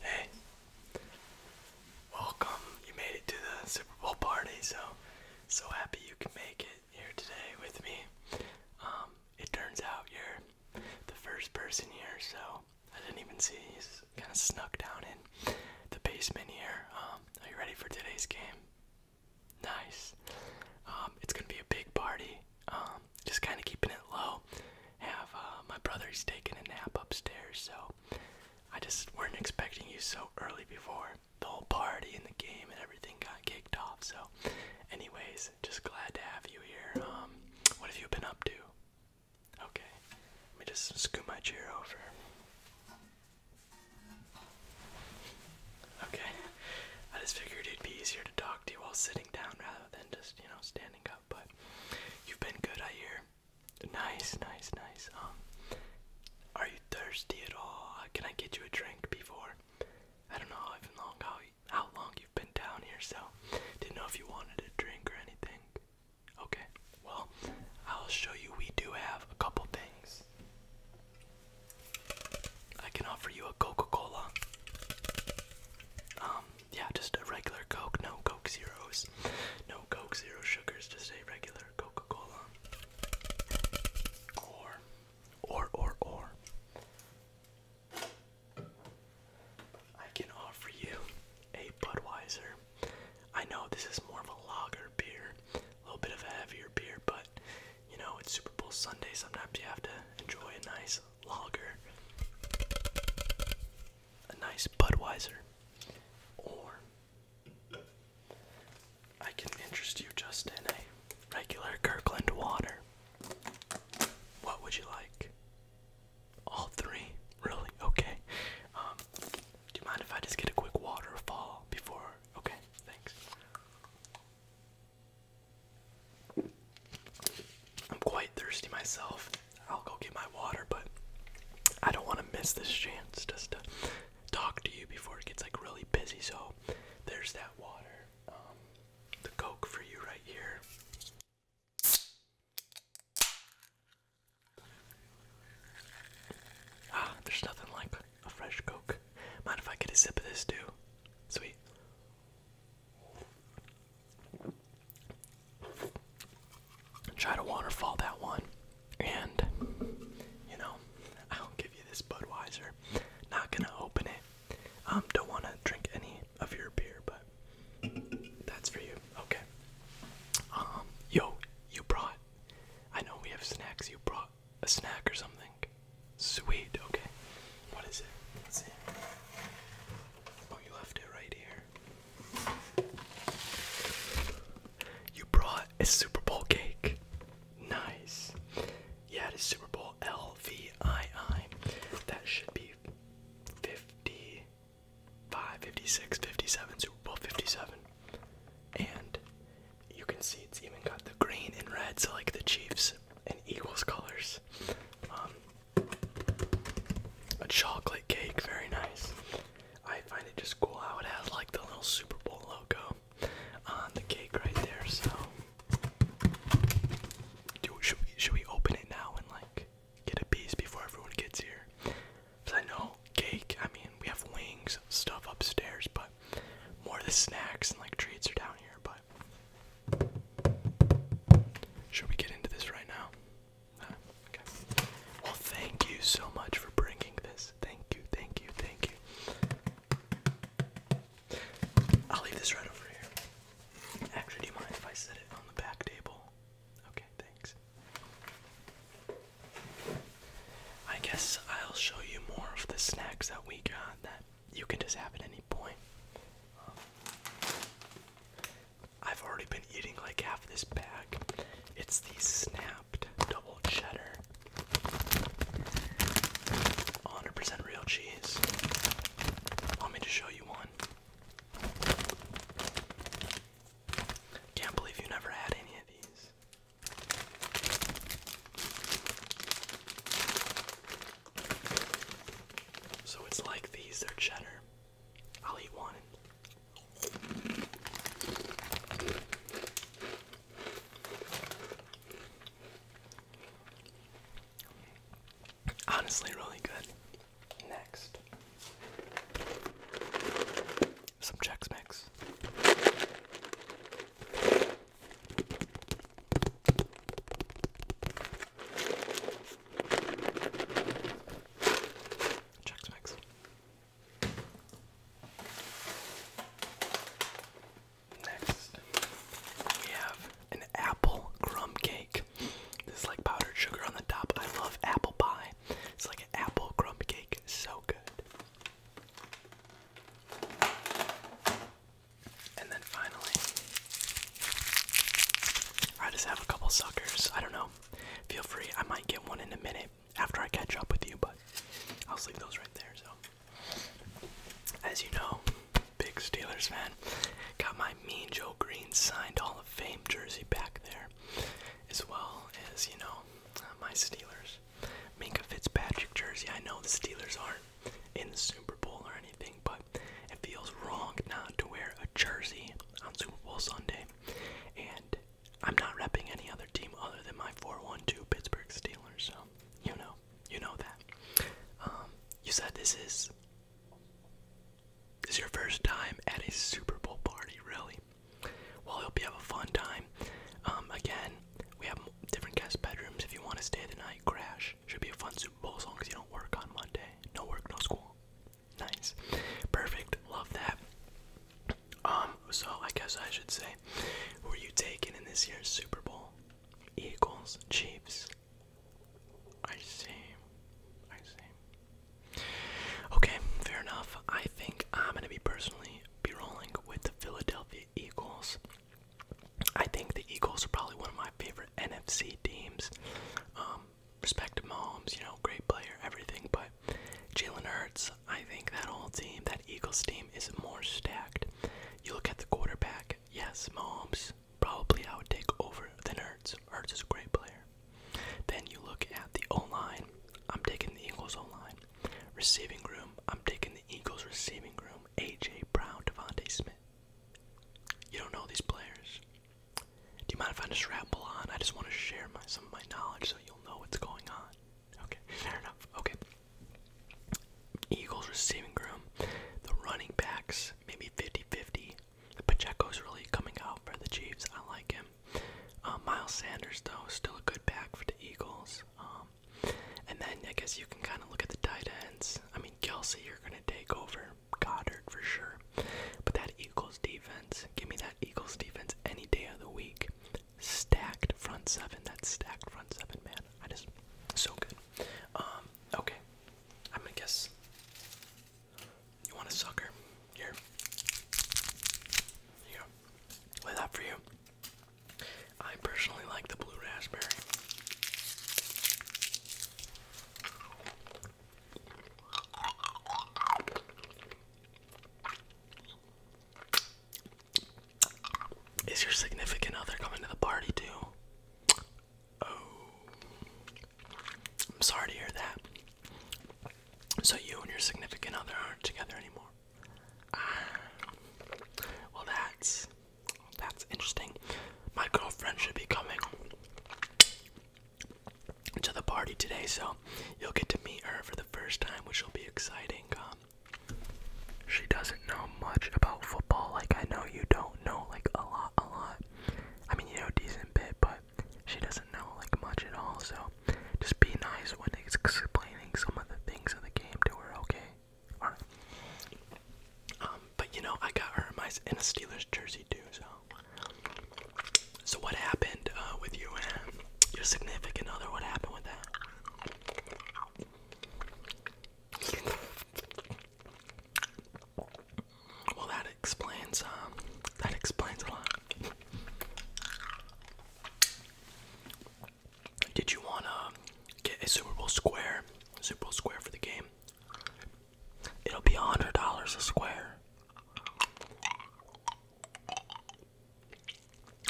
Hey, welcome. You made it to the Super Bowl party, so so happy you can make it here today with me. Um, it turns out you're the first person here, so I didn't even see you. Kind of snuck down in the basement here. Um, are you ready for today's game? Nice. Um, it's gonna be a big party. Um, just kind of keeping it low. Have uh, my brother, he's taking a nap upstairs, so I just weren't expecting you so early before the whole party and the game and everything got kicked off. So, anyways, just glad to have you here. Um, what have you been up to? Okay, let me just scoot my chair over. Okay. I just figured it'd be easier to talk to you while sitting down rather than just, you know, standing up, but you've been good, I hear. Nice, nice, nice. Um are you thirsty at all? Uh, can I get you a drink before? I don't know even long how how long you've been down here, so didn't know if you wanted a drink or anything. Okay. Well, I'll show you we do have a couple things I can offer you a Coca-Cola. Um, yeah, just a regular Coke, no Coke Zeros, no Coke Zero sugars, just a regular Coca-Cola. Or, or, or, or. I can offer you a Budweiser. I know this is more of a lager beer, a little bit of a heavier beer, but you know, it's Super Bowl Sunday. Sometimes you have to enjoy a nice lager, a nice Budweiser, or I can interest you just in a regular Kirkland water. What would you like? All three? Really? Okay. Um, do you mind if I just get a quick waterfall before Okay, thanks. I'm quite thirsty myself. I'll go get my water, but I don't want to miss this chance just to talk to you before it gets like really busy. So there's that water. Um, the Coke for you right here. Ah, there's nothing like a fresh Coke. Mind if I get a sip of this too? Sweet. Try to waterfall that one. And, you know, I'll give you this Budweiser. Not gonna open it. Um, don't wanna drink any of your beer, but that's for you. Okay. Um, yo, you brought I know we have snacks. You brought a snack or something. Sweet, okay. What is it? Let's see. Oh, you left it right here. You brought a Super Bowl cake. Nice. Yeah, it is Super Bowl LVII. That should be 55, 56, 57, Super Bowl 57. And you can see it's even got the green and red, so like the Chiefs and Eagles colors. Um, a chocolate cake, very nice. I find it just cool how it has like the little Super Bowl logo on the cake right there. So, do should we should we open it now and like get a piece before everyone gets here? Because I know cake, I mean, we have wings, stuff upstairs, but more of the snacks and like treats are down here. But should we get into this right now? Well, thank you so much for bringing this. Thank you, thank you, thank you. I'll leave this right over here. Actually, do you mind if I set it on the back table? Okay, thanks. I guess I'll show you more of the snacks that we got that you can just have at any point. Um, I've already been eating like half this bag. It's the snapped double cheddar. 100% real cheese. Want me to show you one? Can't believe you never had any of these. So it's like these, they're cheddar. I'll eat one. Honestly, really good. Next, some Chex Mix. Chex Mix. Next, we have an apple crumb cake. This like powdered sugar on the top. I love apple pie. It's like apple crumb cake. So good. And then finally, I just have a couple suckers. I don't know. Feel free. I might get one in a minute after I catch up with you, but I'll leave those right there. So, as you know, big Steelers fan, got my Mean Joe Green signed Hall of Fame jersey back there as well as you know uh, my Steelers. Minka Fitzpatrick jersey. I know the Steelers aren't in the Super Bowl or anything, but it feels wrong not to wear a jersey on Super Bowl Sunday. And I'm not repping any other team other than my 412 Pittsburgh Steelers. So you know, you know that. Um, you said this is is your first time at a Super Bowl party, really? Well, I hope you have a fun time. Um, again, we have different guest bedrooms. If you want to stay the night, crash. Should be a fun Super Bowl as long as you don't work on Monday. No work, no school. Nice. Perfect. Love that. Um, so I guess I should say, who are you taking in this year's Super Bowl? Eagles, Chiefs, I see. I see. Okay, fair enough. I think I'm gonna be personally be rolling with the Philadelphia Eagles. I think the Eagles are probably one of my favorite NFC teams. Um, respect to Mahomes, you know, great player, everything, but Jalen Hurts, I think that whole team, that Eagles team, is more stacked. You look at the quarterback, yes, Mahomes, Probably I would take over the Ertz. Ertz is a great player. Then you look at the O line. I'm taking the Eagles O line. Receiving room. I'm taking the Eagles receiving room. AJ Brown, Devontae Smith. You don't know these players. Do you mind if I just ramble on? I just want to share my some of my knowledge so you'll know what's going on. Okay, fair enough. Okay. Eagles receiving room. The running backs, maybe 50 50. Pacheco's really coming out for the Chiefs. I like him. Um, Miles Sanders, though, still a good back for the Eagles. Um, and then I guess you can kind of look at the tight ends. I mean, Kelsey, you're going to take over Goddard for sure. But that Eagles defense, give me that Eagles defense any day of the week. Stacked front seven. That's stacked front seven, man. I just so good. Um, okay. I'm gonna guess you want a sucker? Here. Here you that for you. I personally like the blue raspberry. Is your significant other coming to the party too? Oh. I'm sorry to hear that. So you and your significant other aren't together anymore. Ah. well, that's that's interesting. My girlfriend should be coming to the party today, so you'll get to meet her for the first time, which will be exciting. Um, she doesn't know much about football, like I know you don't know like a lot, a lot. I mean, you know, decent bit, but she doesn't know like much at all. So just be nice when explaining some of the things of the game to her, okay? All right. Um, but you know, I got her a nice in a Steelers jersey too. So, so what happened uh, with you and your significant other? What happened with that? Well, that explains um, that explains a lot. Did you wanna get a Super Bowl square? Super Bowl square for the game. It'll be a hundred dollars a square.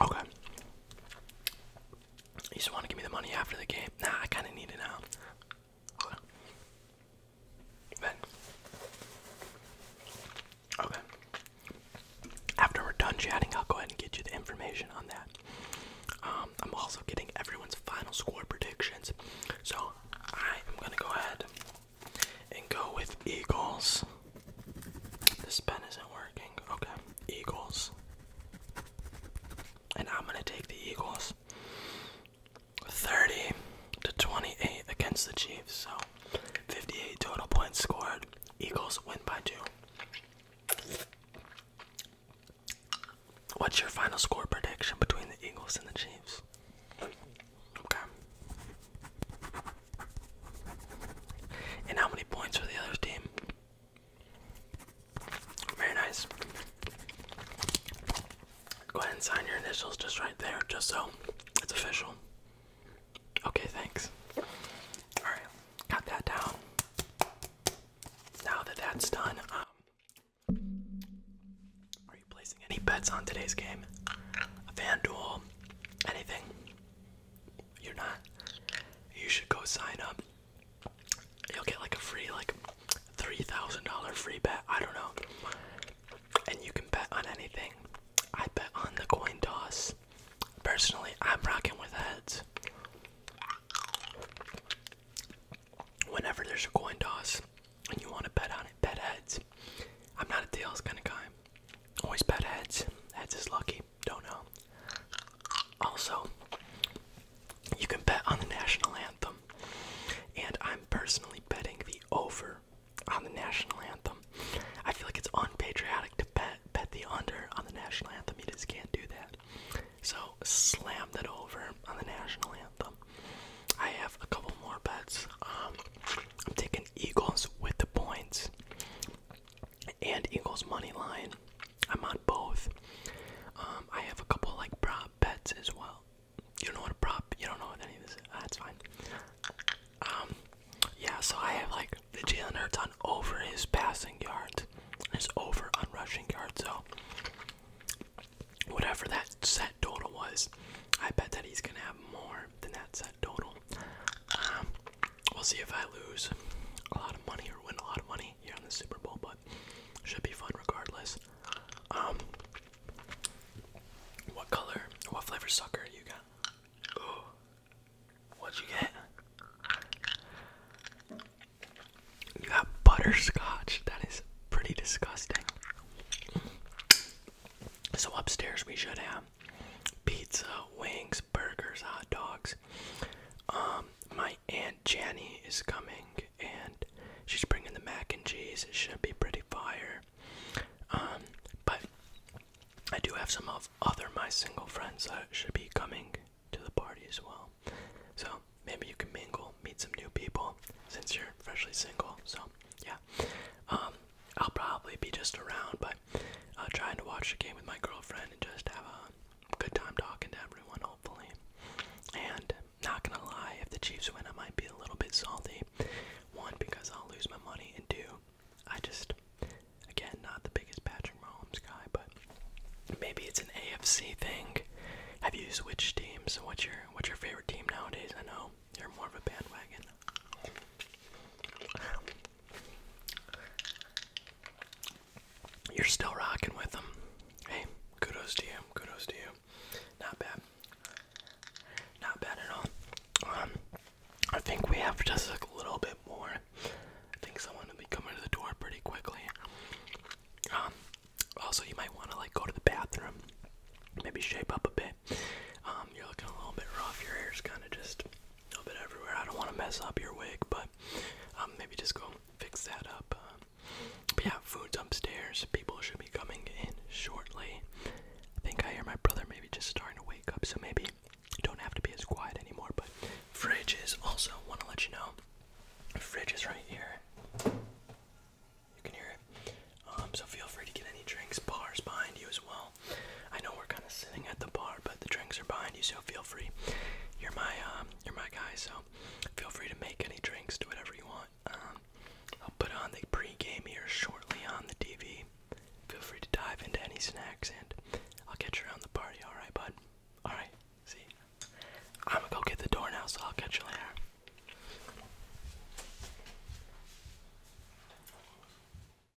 Okay. You just want to give me the money after the game? Nah, I kind of need it now. Thanks. Okay. After we're done chatting, I'll go ahead and get you the information on that. Um, I'm also getting everyone's final score predictions. So I am going to go ahead and go with Eagles. This pen isn't working. Okay. Eagles and I'm gonna take the Eagles 30 to 28 against the Chiefs. So 58 total points scored. Eagles win by two. What's your final score prediction between the Eagles and the Chiefs? Okay. And how many points for the other team? Very nice. Go ahead and sign your initials just right there, just so it's official. Okay, thanks. Alright, got that down. Now that that's done, um, are you placing any bets on today's game? A FanDuel? Anything? You're not? You should go sign up you'll get like a free like three thousand dollar free bet. I don't know, and you can bet on anything. I bet on the coin toss. Personally, I'm rocking with heads. Whenever there's a coin toss and you want to bet on it, bet heads. I'm not a tails kind of guy. Always bet heads. Heads is lucky. Don't know. Also, you can bet on the national anthem. And I'm personally betting the over on the national anthem. I feel like it's unpatriotic to bet bet the under on the national anthem. You just can't do that. So slam it over on the national anthem. I have a couple more bets. Um, I'm taking Eagles with the points and Eagles money line. I'm on both. Um, I have a couple like prop bets as well. You don't know what a prop? You don't know what any of this? Is. Ah, that's fine. Um, yeah. So I have like the Jalen Hurts on over his passing yards, his over on rushing yards. So whatever that set total was, I bet that he's gonna have more than that set total. Um, We'll see if I lose a lot of money or win a lot of money here in the Super Bowl, but should be fun regardless. Um, what color, what flavor sucker you got? what'd you get? You got butterscotch. That is pretty disgusting. So upstairs we should have pizza, wings, burgers, hot dogs, um, my aunt Jenny is coming, and she's bringing the mac and cheese. It should be pretty fire. Um, but I do have some of other my single friends that should be coming to the party as well. So maybe you can mingle, meet some new people since you're freshly single. So yeah, um, I'll probably be just around but but uh, trying to watch the game with my girlfriend and just have a good time talking to everyone, hopefully. And not gonna lie, if the Chiefs win, I might be a little bit salty. One, because I'll lose my money, and two, I just, again, not the biggest Patrick Mahomes guy, but maybe it's an AFC thing. Have you switched teams? What's your what's your favorite team nowadays? I know you're more of a bandwagon. You're still rocking with them. Hey, kudos to you. Kudos to you. Not bad. Not bad at all. Um, I think we have just like a little bit more. I think someone will be coming to the door pretty quickly. Um, also, you might want to like go to the bathroom, maybe shape up a bit. Um, you're looking a little bit rough. Your hair's kind of just a little bit everywhere. I don't want to mess up your wig, but um, maybe just go fix that up. Uh, but yeah, food's upstairs. People should be coming in shortly. I think I hear my brother maybe just starting to wake up, so maybe don't have to be as quiet anymore. But fridge is also want to let you know. fridge is right here. You can hear it. Um, so feel free to get any drinks. Bars behind you as well. I know we're kind of sitting at the bar, but the drinks are behind you, so feel free. You're my um, you're my guy, so feel free to make any drinks, do whatever you want. Um, I'll put on the pre-game here shortly on the TV. Feel free to dive into any snacks, and I'll catch you around the party. All right, bud. All right. See. I'm gonna go get the door now, so I'll catch you later.